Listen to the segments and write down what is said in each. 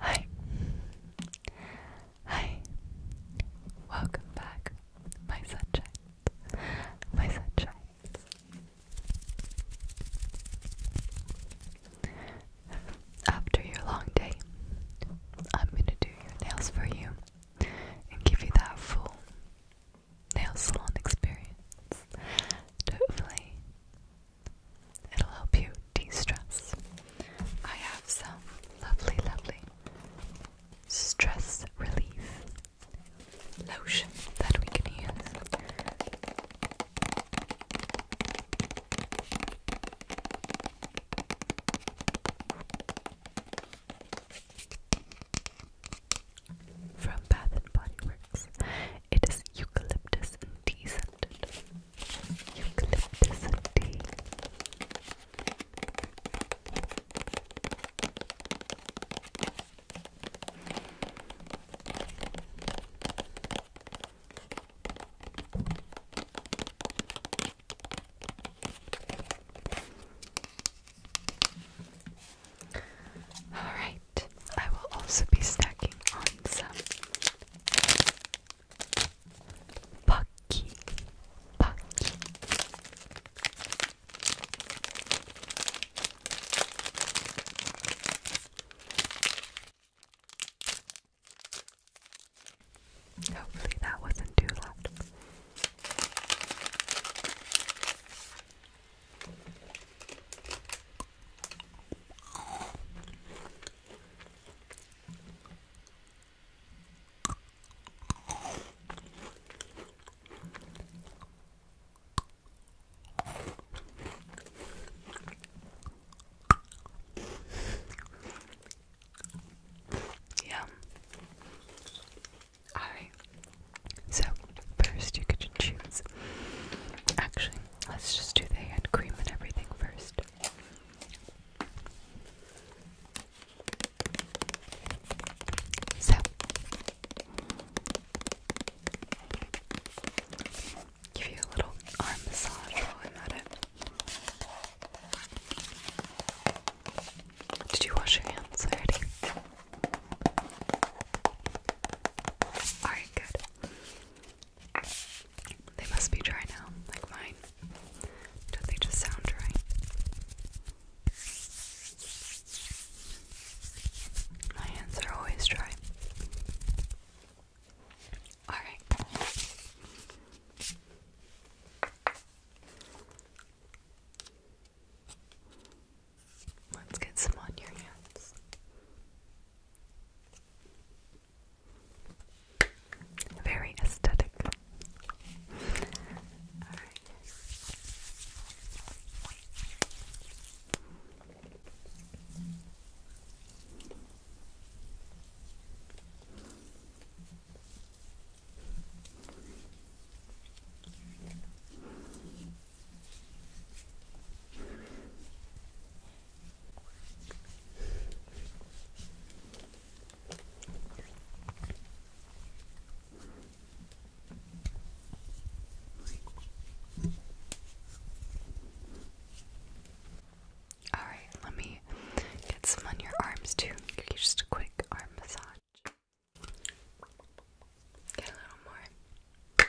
Hi. Hi. Welcome back, my sunshine. My sunshine. After your long day, I'm gonna do your nails for you and give you that full nail salon experience. Hopefully, It'll help you de stress. I have some lovely, lovely stress relief lotion that we can use. From Bath and Body Works, it is eucalyptus and tea scented. Eucalyptus and tea. All right. I will also be stacking on some Pucky Pucky Hopefully that wasn't too loud. Yeah. Alright. So, first you could choose. Actually, Let's just do the hand cream and everything first. So, give you a little arm massage while I'm at it. Did you wash your hands already? Alright, good. They must be dry now, like mine. Don't they just sound dry? My hands are always dry. Alright. Let's get some on your hands. Very aesthetic. All right, let me get some on your arms too. Just a quick arm massage. Get a little more.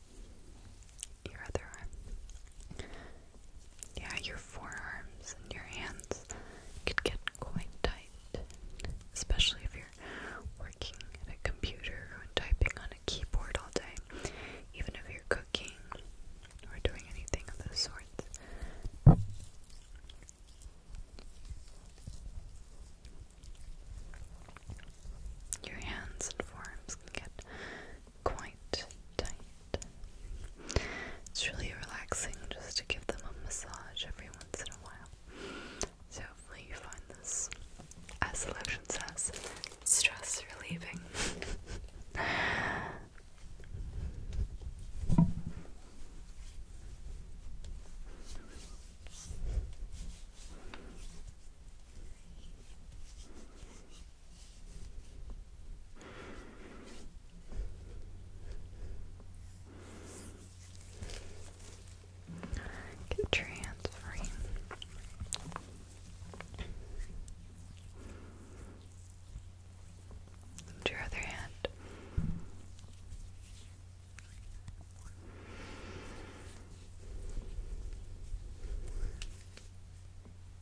your other arm. Yeah, your forearms and your hands could get quite tight, especially if you're working at a computer and typing on a keyboard all day, even if you're cooking or doing anything of the sort, Your hands and forearms can get quite tight. It's really relaxing just to give them a massage every once in a while. So hopefully you find this, as selection says, stress relieving. Keep transferring. To your other hand.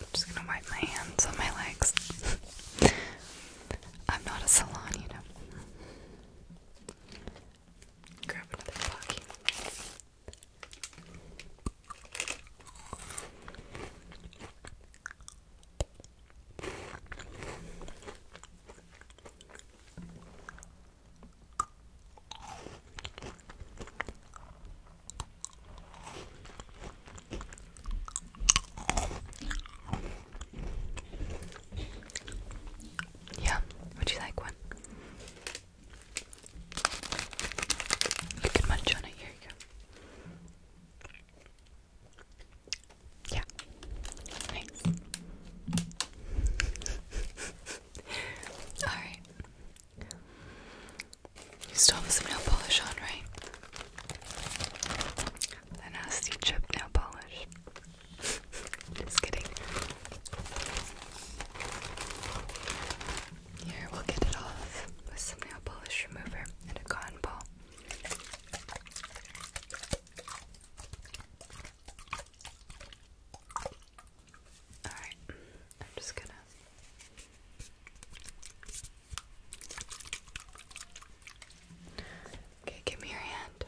I'm just gonna wipe my hands on my legs. I'm not a salon, you know. Grab another pocket. Yeah, would you like one? You can munch on it, here you go. Yeah. Nice. Alright. You still have some nail polish on, right? The nasty chip nail polish. Just kidding. Here, we'll get it off with some nail polish remover and a cotton ball. Alright, I'm just gonna Okay, give me your hand.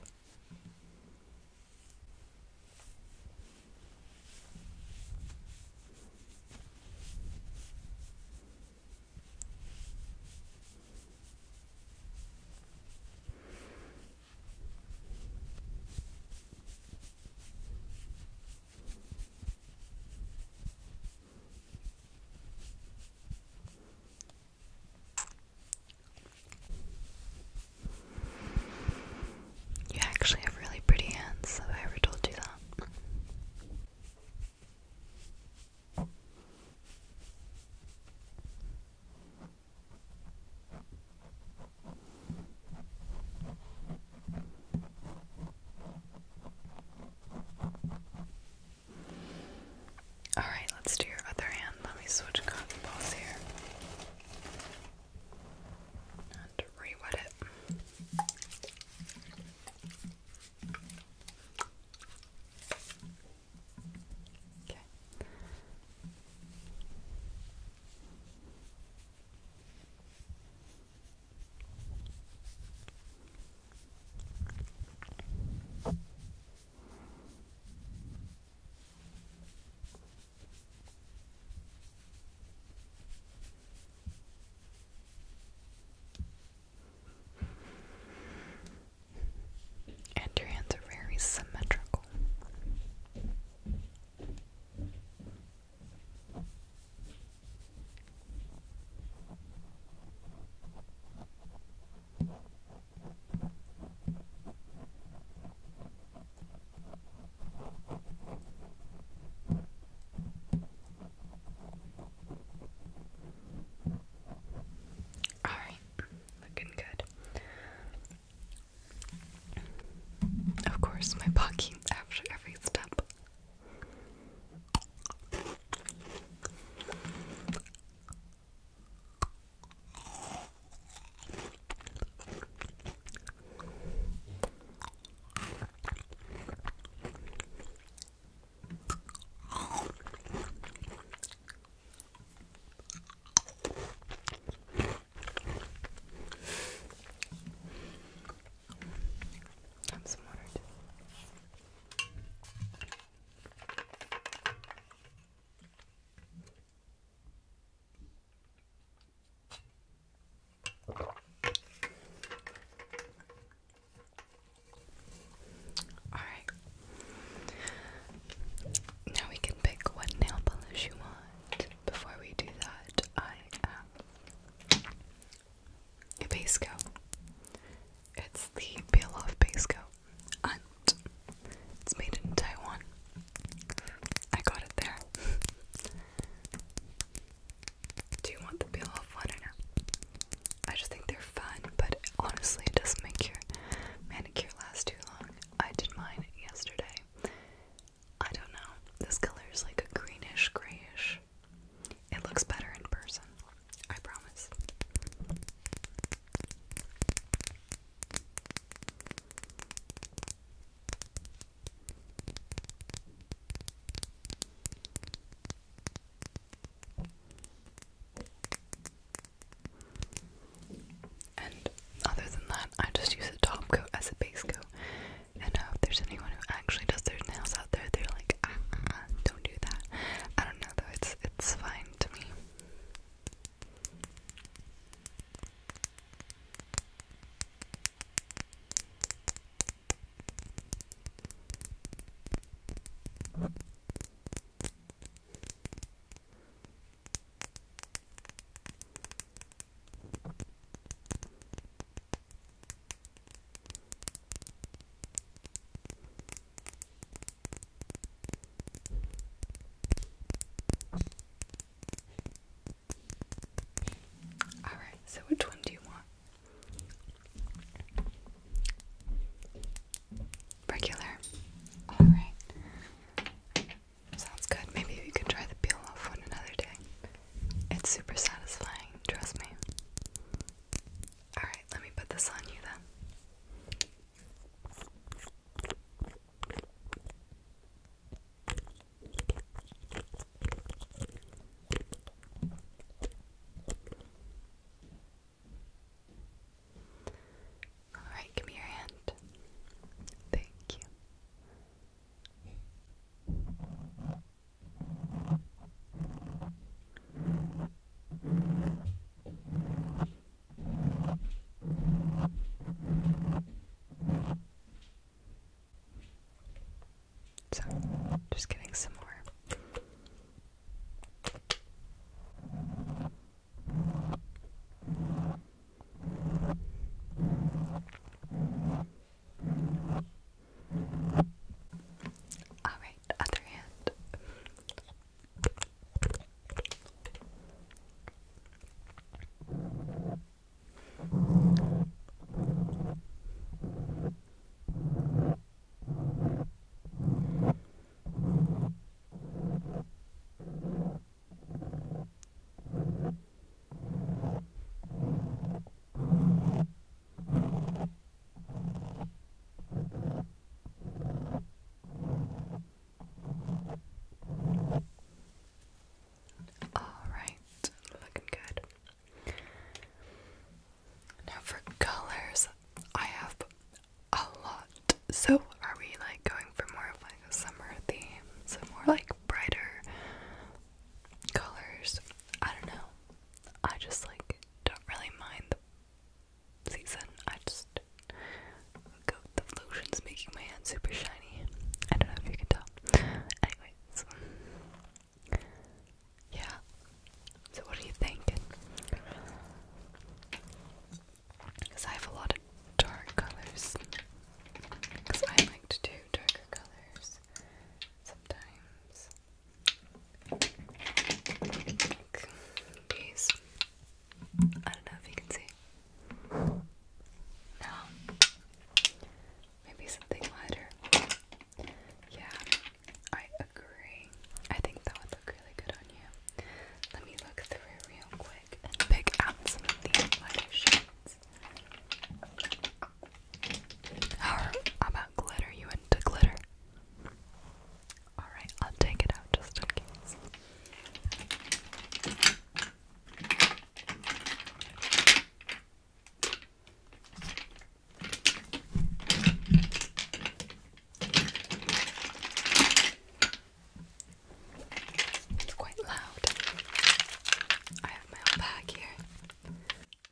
You actually have really pretty hands. Have I ever told you that? Alright, let's do your other hand. Let me switch cotton balls here. And re wet it. Okay. And your hands are very symmetrical. All right, looking good. Of course, my blocking after every step. I'm water all right. Now we can pick what nail polish you want. Before we do that, I um, a base coat. It's the peel off base coat. And it's made in Taiwan. I got it there. Do you want the peel off one or no? I just think they're fun, but honestly, it doesn't make your manicure last too long. I did mine yesterday. I don't know. This color is like a greenish, grayish it looks better in person. I promise. And other than that, I just use a top coat as a base coat. And uh, if there's anyone who actually does their nails out there, they're like, ah, ah, ah, do that. I don't know though, it's it's fine to me. All right, so which one do you want? Regular. All right. Sounds good. Maybe we can try the peel off one another day. It's super satisfying, trust me. Alright, let me put this on you then. All right, give me your hand. Thank you. So, just getting some more. Alright, other hand. Okay. All right, looking good. Now for colors, I have a lot. So are we like going for more of like a summer theme? So more like brighter colors. I don't know. I just like don't really mind the season. I just go the lotion's making my hands super shiny. I don't know if you can tell. Anyways. Yeah. So what do you think? Because I have a lot of dark colors. Because I like to do darker colors sometimes these. I don't know if you can see. No. Maybe something lighter. Yeah, I agree. I think that would look really good on you. Let me look through real quick and pick out some of these lighter shades. How about glitter? You into glitter? Alright, I'll take it out just in case. It's quite loud. I have my bag here.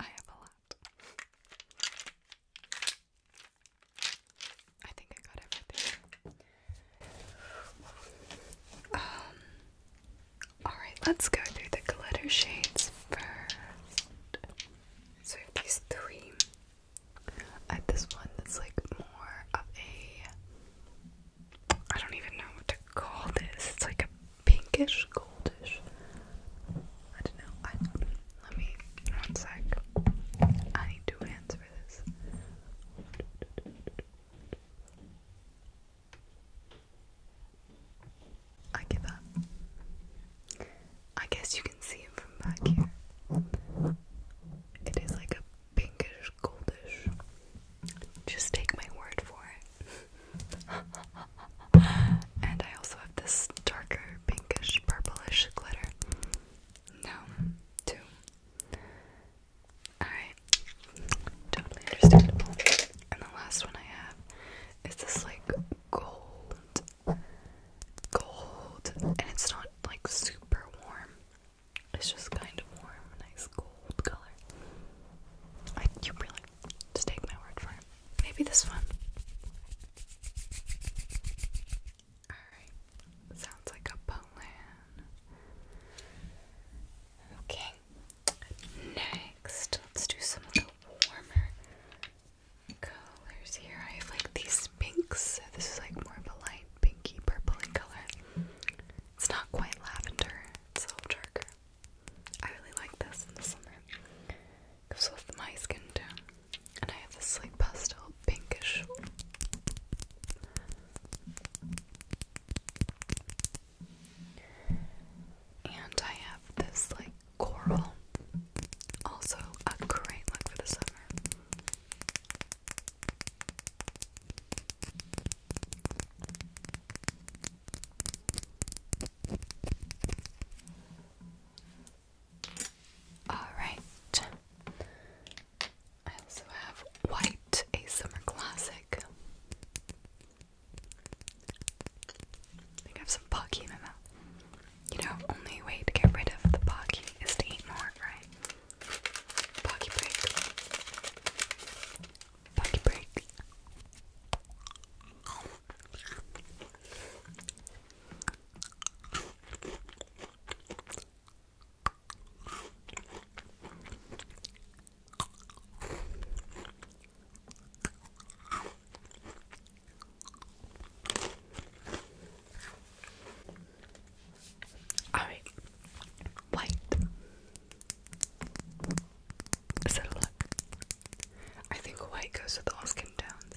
I have a lot. I think I got everything. Um, Alright, let's go through the glitter shades first. So, I have these three. I have this one that's like more of a. I don't even know what to call this. It's like a pinkish goldish. I don't know. let me one sec. I need two hands for this. I give up. I guess you can see him from back here. It is like a pinkish goldish. Just take my word for it and I also have this darker pinkish purplish glitter. Now, two. Alright, totally understandable. And the last one I have is this like gold, gold, and it's not like super warm. It's just kind of warm, nice gold color. you really just take my word for it. Maybe this one. Alright, sounds like a plan. Okay, next, let's do some of warmer colors here. I have like these pinks. This is like more of a light pinky purpley color. It's not quite lavender, it's a little darker. I really like this in the summer. It Goes with my skin tone. And I have this like pastel pinkish. And I have this like coral. Also a great look for the summer. Alright. I also have White, a summer classic. I think I have some pocky in my mouth. You know, only way to get rid of the pocky is to eat more, right? Pocky break. Pocky break. All right, white. Is it a look? I think white goes with all skin tones.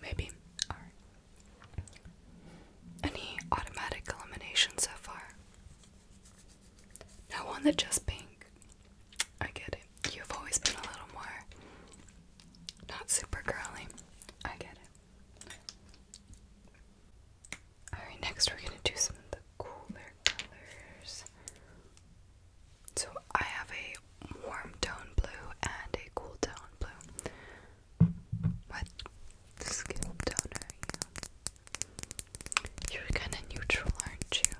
Maybe. Any automatic elimination so far? No one that just pink. I get it. You've always been a little more not super curly. I get it. Alright, next we're gonna do some cooler colors. So I have a warm tone blue and a cool tone blue. What skin tone are you? You're kinda neutral, aren't you?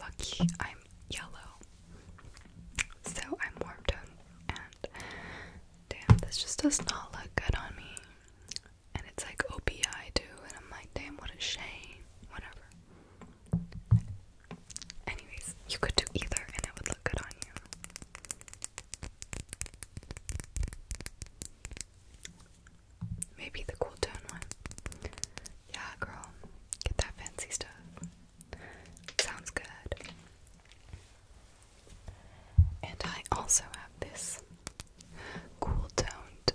Lucky I'm yellow. So I'm warm tone and damn this just does not look good on me and it's like OPI too, and I'm like, damn, what a shame. Whatever. Anyways, you could do either, and it would look good on you. Maybe the cool tone one. Yeah, girl, get that fancy stuff. Sounds good. And I also have this cool toned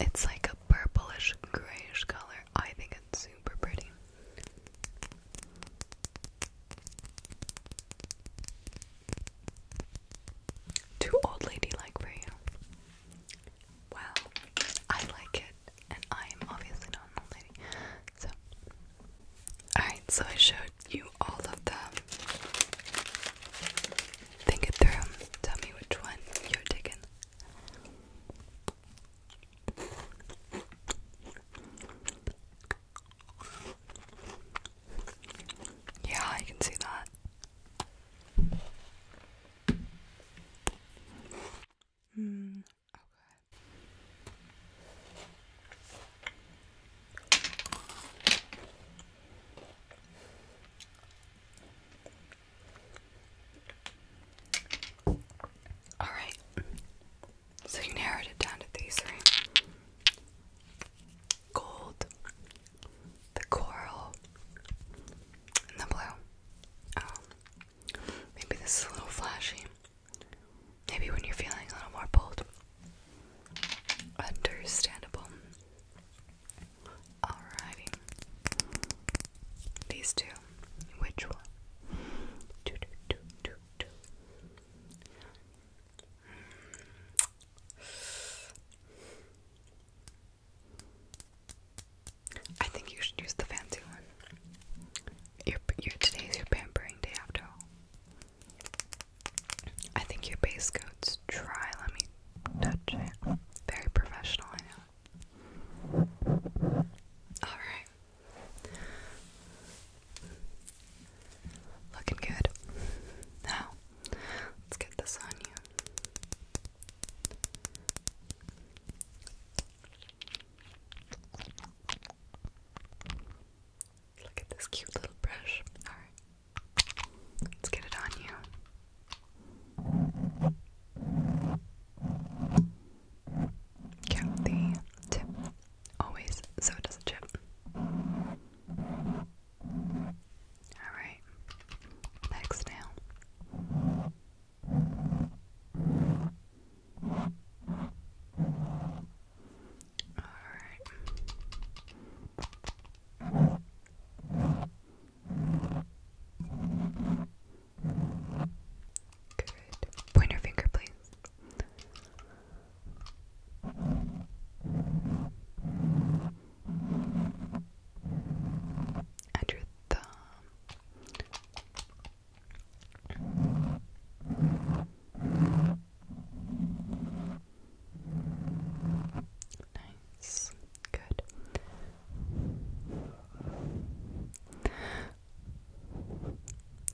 it's like a purplish grayish color. I think it's super pretty. Too old lady like for you. Well, I like it, and I am obviously not an old lady. So, alright, so I showed you all of them. Think it through. Tell me which one you're taking. Yeah, I can see that. Mm, okay. Alright. So you narrowed it down to these, three: Gold, the coral, and the blue. Um, maybe this is a little flashy. Maybe when you're feeling a little more bold. Understandable. Alrighty. These two. Which one? I think you should use the fancy one. Your, your today's your pampering day after all. I think your base coat's Try Let me touch Very professional, I know. Alright. Looking good. Now, let's get this on you. Look at this cute little brush. Alright. Let's get it on you. Count the tip always so it doesn't chip. Alright, next nail. Alright. Good. Point your finger, please. And your thumb. Nice. Good.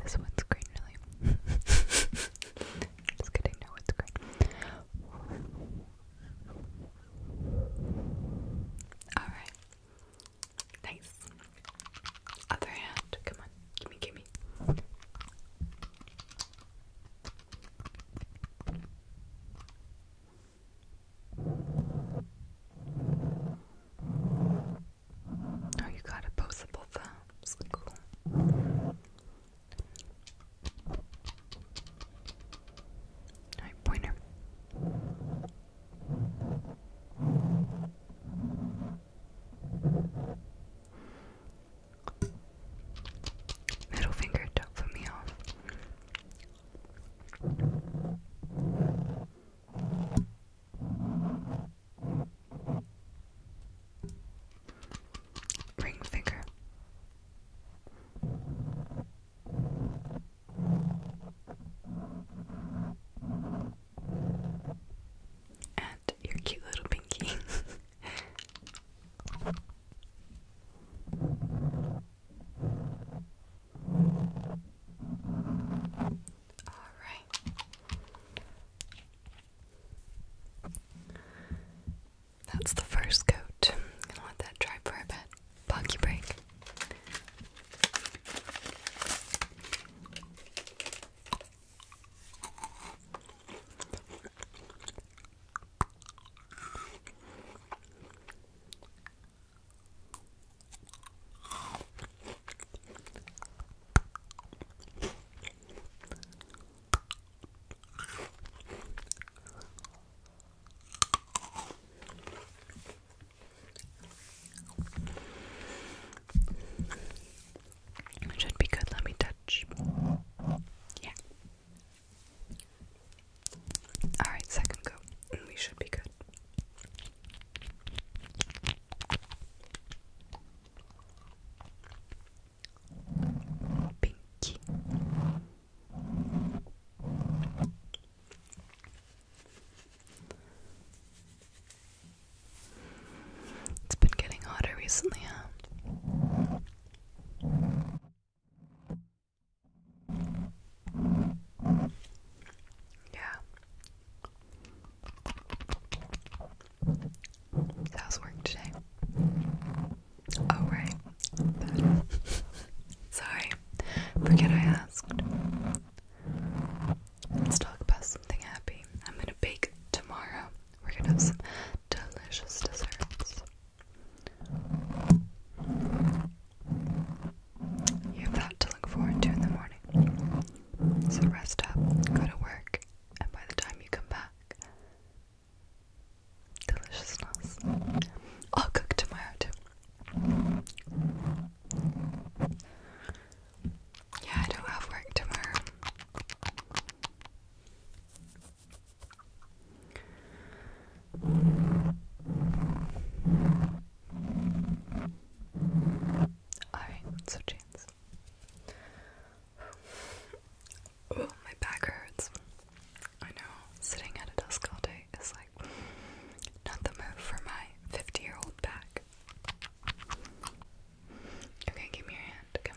This one's green, really. Just kidding, no, it's green. Alright. Nice. Other hand. Come on. Gimme, gimme. Oh, you got opposable thumbs. Cool. Alright, pointer. Middle finger, don't put me off. Ring finger. And your cute little pinky. All right. That's the first coat. gonna let that dry for a bit. Pocky break should be good. Let me touch. Yeah. Alright, second coat, we should be good. Pinky. It's been getting hotter recently, huh? Yeah. How's work today? Oh, right. Sorry. Forget I asked. Let's talk about something happy. I'm gonna bake tomorrow. We're gonna have some delicious desserts. You have that to look forward to in the morning. So rest up, go to work, and by the time you come back, deliciousness. I'll cook tomorrow too. Yeah, I don't have work tomorrow. Alright, so chance. Oh, my back hurts. I know, sitting at a desk all day is like not the move for my 50 year old back. Okay, give me your hand. Come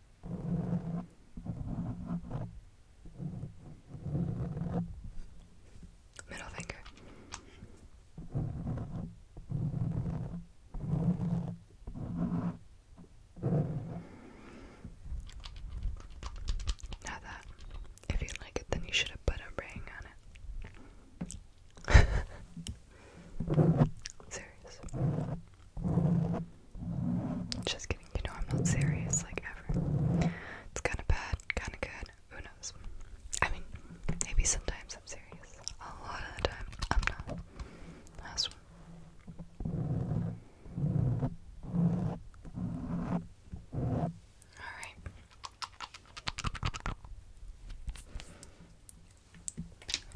Middle finger. Now that, if you like it, then you should have put a ring on it. Serious. Just kidding, you know I'm not serious, like ever. It's kinda bad, kinda good, who knows? I mean, maybe sometimes I'm serious. A lot of the time, I'm not. Last one. Alright.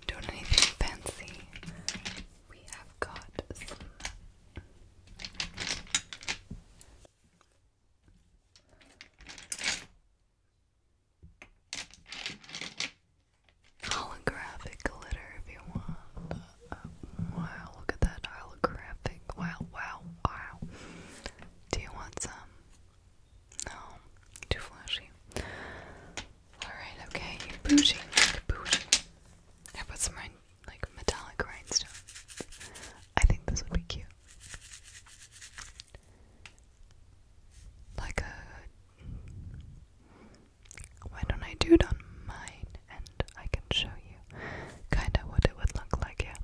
Don't anything fancy. We have got some holographic glitter if you want. Uh, wow, look at that holographic. Wow, wow, wow. Do you want some? No, too flashy. Alright, okay, bougie, bougie. I put some like metallic rhinestones. I think this would be cute. Like a why don't I do it on mine and I can show you kinda what it would look like, yeah.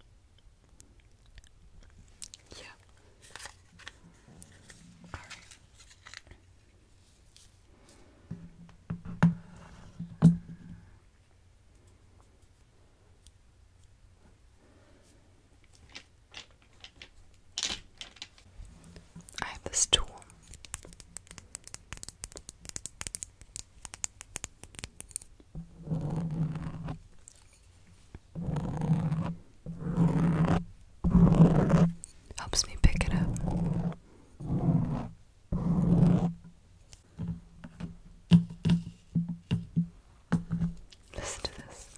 Yeah. Alright. I have this tool. Helps me pick it up. Listen to this.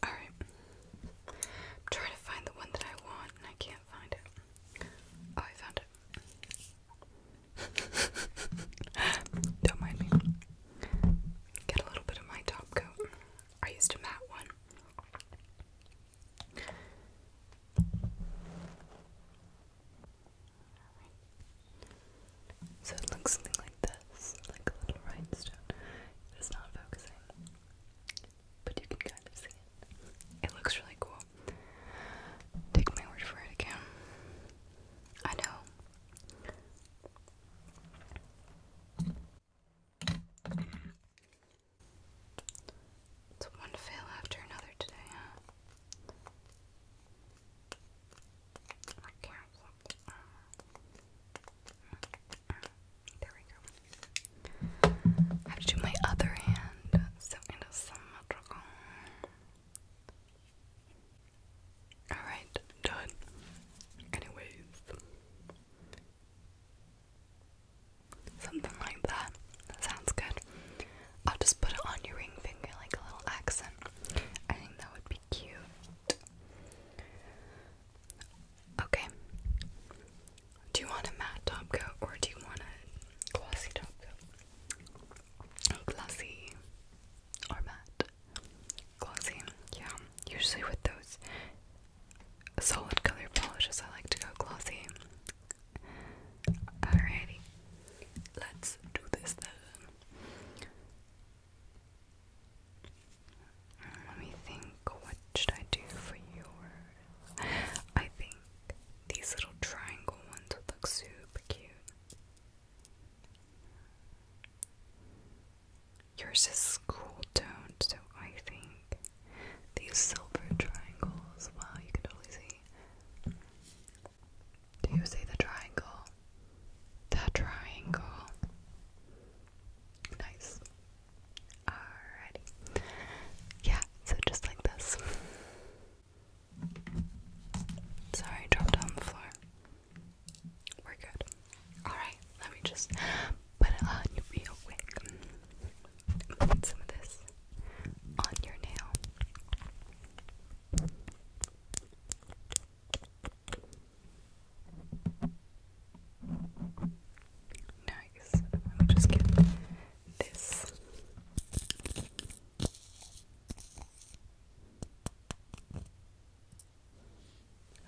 All right. I'm trying to find the one that I want and I can't find it. Oh, I found it. Don't mind me. Get a little bit of my top coat. I used a matte one. So it looks something like this, like a little rhinestone. It's not focusing, but you can kind of see it. It looks really cool. Take my word for it again. I know. It's one fail after another today, huh? There we go. have to do my other hand, Alright, done. Anyways, something like that. that. Sounds good. I'll just put it on your ring finger like a little accent. I think that would be cute. Okay. Do you want a matte top coat or do you want a glossy top coat? glossy or matte. Glossy, yeah. Usually with those solid color polishes, I like to go glossy. Alrighty, let's do this then. Let me think. What should I do for yours? I think these little triangle ones would look super cute. Yours is cool toned, so I think these silver triangles. Wow, you can totally see. Do you see the triangle? The triangle. Nice. Alrighty. Yeah, so just like this. Sorry, dropped it on the floor. We're good. Alright, let me just put it on real quick. Put some of this on your nail. Nice. Let me just get this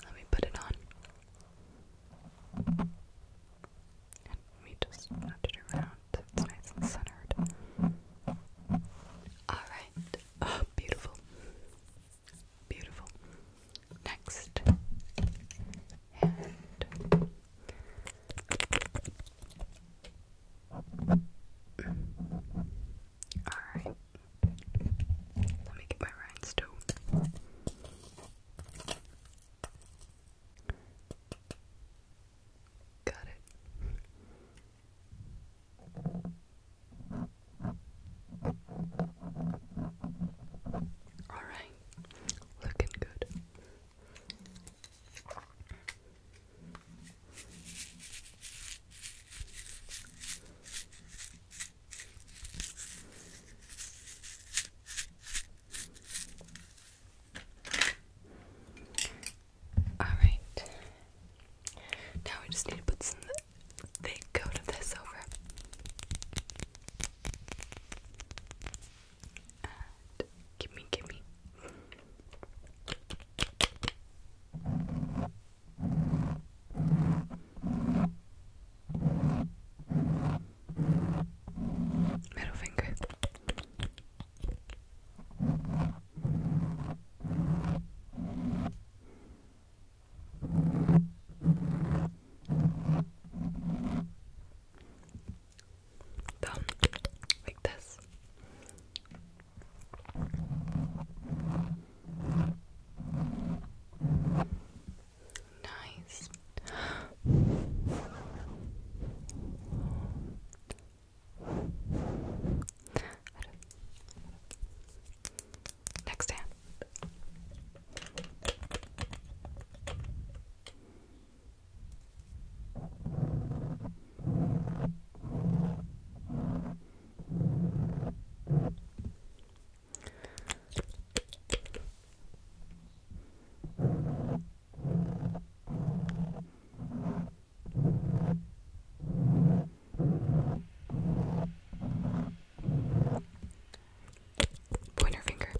let me put it on. let me just nudge it around so it's nice and centered. Alright. Oh, beautiful. Beautiful. Next. Alright. Let me get my rhinestone. Got it. Alright. Looking good. All right. Now we just need to put some thick coat of this over. Give me, give me. Middle finger. Thumb, like this. Nice. Next hand. Pointer finger.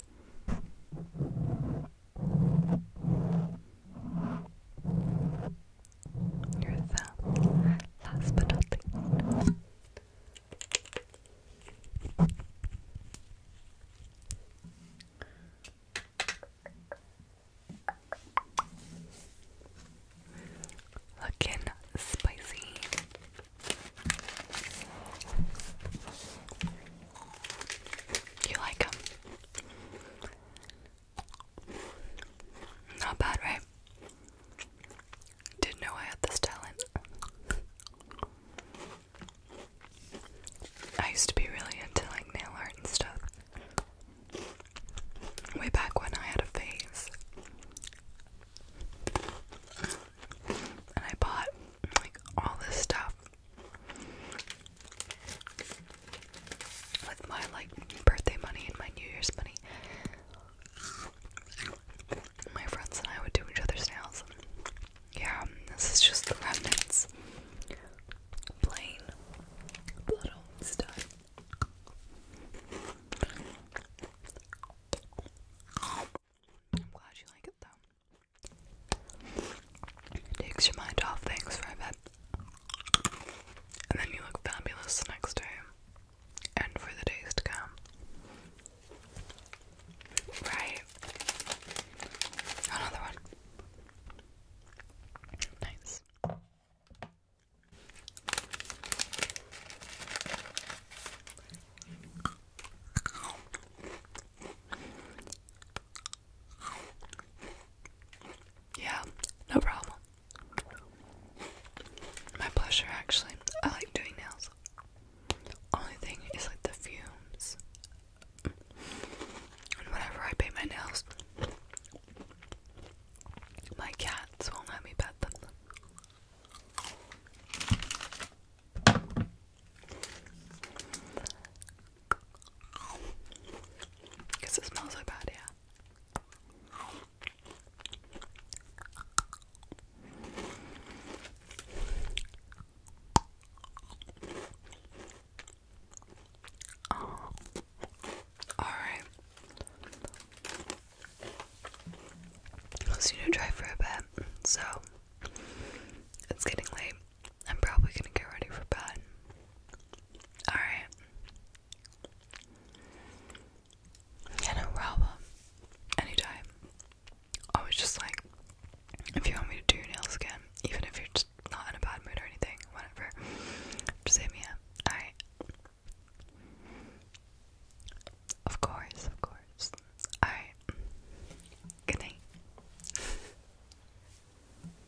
Your thumb. Last but not least. Looking spicy. You like them? Not bad, right? Didn't know I had this talent. I used to be really into like nail art and stuff. Way back when I had a phase. And I bought like all this stuff with my like birthday money and my New Year's money. My friends and I would do each other's nails. Yeah, this is just the remnants. Plain blood stuff. I'm glad you like it though. It takes your mind off things for a bit. And then you look fabulous the next day and for the days to come. Right. Another one. Nice. Yeah, no problem. My pleasure, actually. I like doing nails. Only thing is like the fumes. And whenever I paint my nails, my cats won't let me pet them. Because it smells so bad, yeah. Oh. All right. I was gonna try for a bit, so it's getting late. I'm probably gonna get ready for bed. Alright. no problem. Anytime. I just like, if you want me to do nails again, even if you're just not in a bad mood or anything, whatever, just hit me Alright. Of course, of course. Alright. Good night.